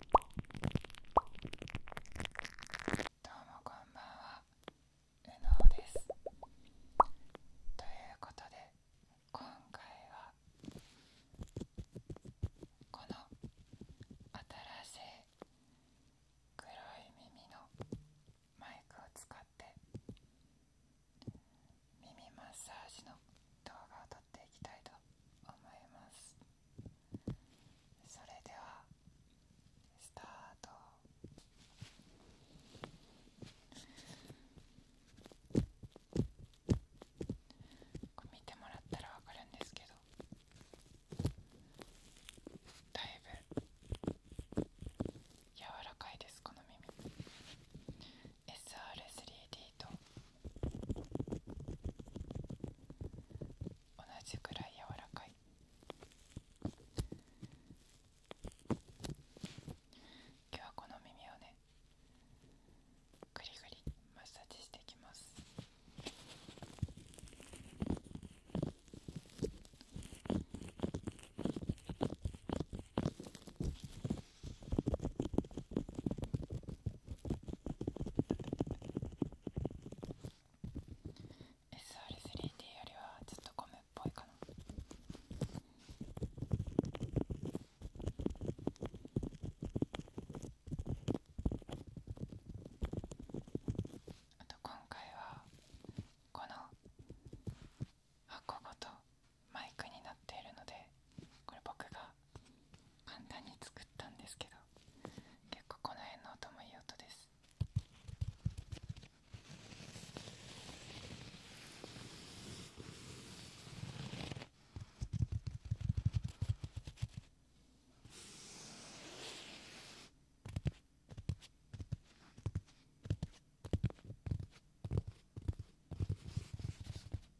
どうもこんばんはうのうですということで今回はこの新しい黒い耳のマイクを使って耳マッサージの動画を撮っていきたいと思いますそれではスタートこれ見てもらったらわかるんですけどだいぶ柔らかいですこの耳 SR3D と同じくらい柔らかい今日はこの耳をねぐりぐりマッサージしていきます耳 SR3D よりはちょっとゴムっぽいかなあと今回はこの箱ごとマイクになっているのでこれ僕が簡単に作ったんですけど結構この辺の音もいい音ですこ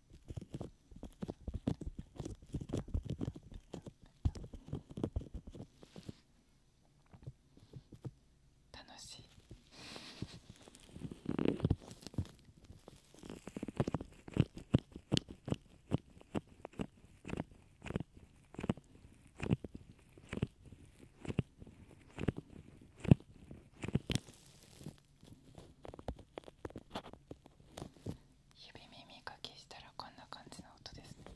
楽しい指耳かきしたらこんな感じの音ですね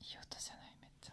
いい音じゃないめっちゃ。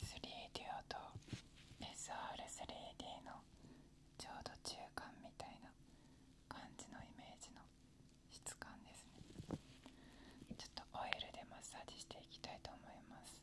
3D と SR3D のちょうど中間みたいな感じのイメージの質感ですねちょっとオイルでマッサージしていきたいと思います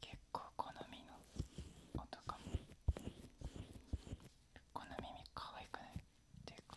結構好みの音かもこの耳可愛くないっていうか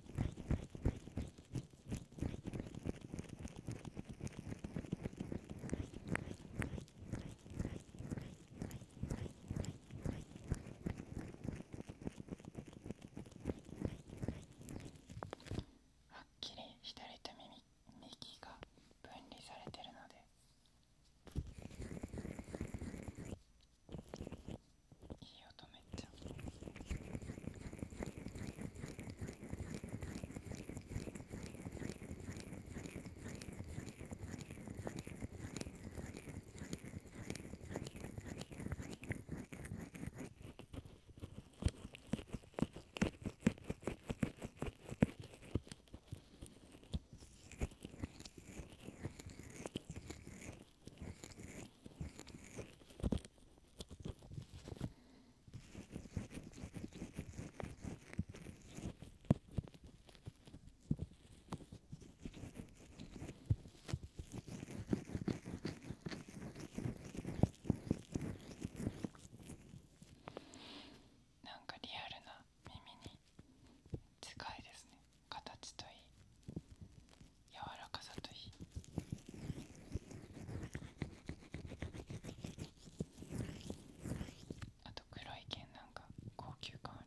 はっきり左と右右が分離されてるのでいい音めっちゃ。なんかリアルな耳に近いですね形といい柔らかさといいあと黒い剣なんか高級感ある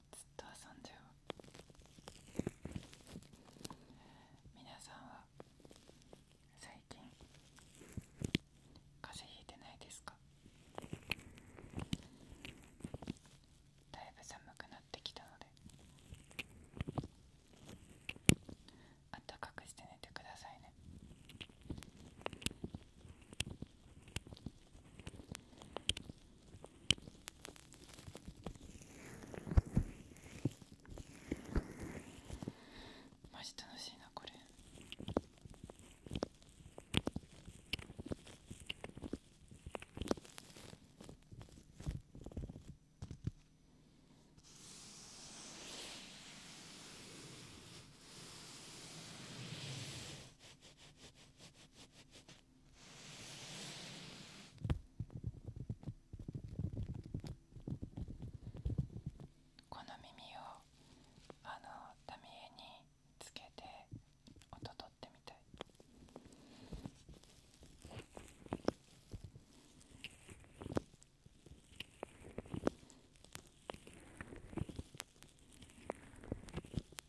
ずっと遊んじゃう皆さんは最近風邪ひいてないですかだいぶ寒くなってきたのであったかくして寝てくださいねマジ楽しいなこれ。この耳をあの民ミにつけて音取ってみたい。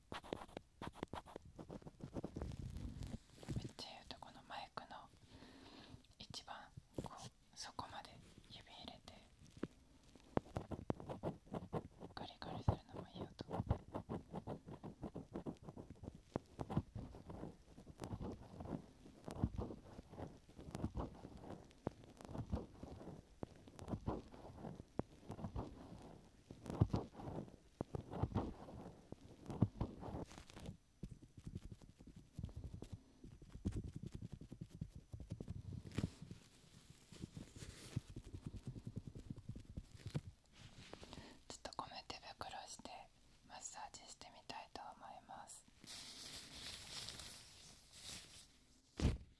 めっちゃ言うとこのマイクの一番こうそこまで指入れてガリガリするのもいい音。ちょっと米手袋してマッサージしてみたいと思います。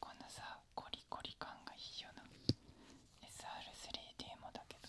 このさコリコリ感がいいよな SR3D もだけどこ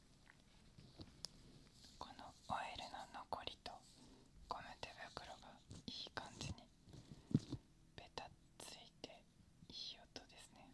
このオイルの残りとゴム手袋がいい感じにベタついていい音ですね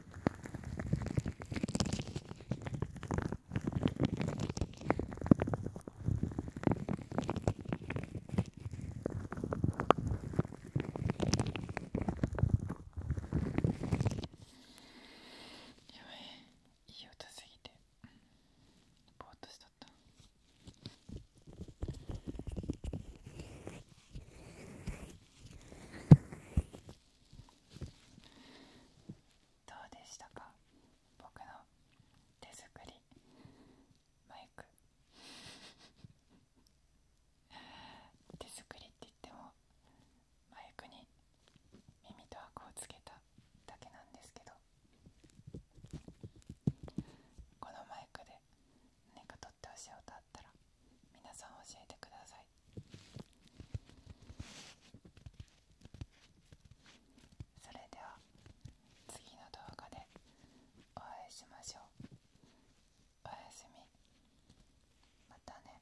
やばいいい音すぎてぼーっとしとったどうでしたか僕の手作りマイク手作りって言ってもマイクに耳とアクをつけただけなんですけどこのマイクで何かとってほしい音あったら皆さん教えてくださいそれでは次の動画でお会いしましょうおやすみまたね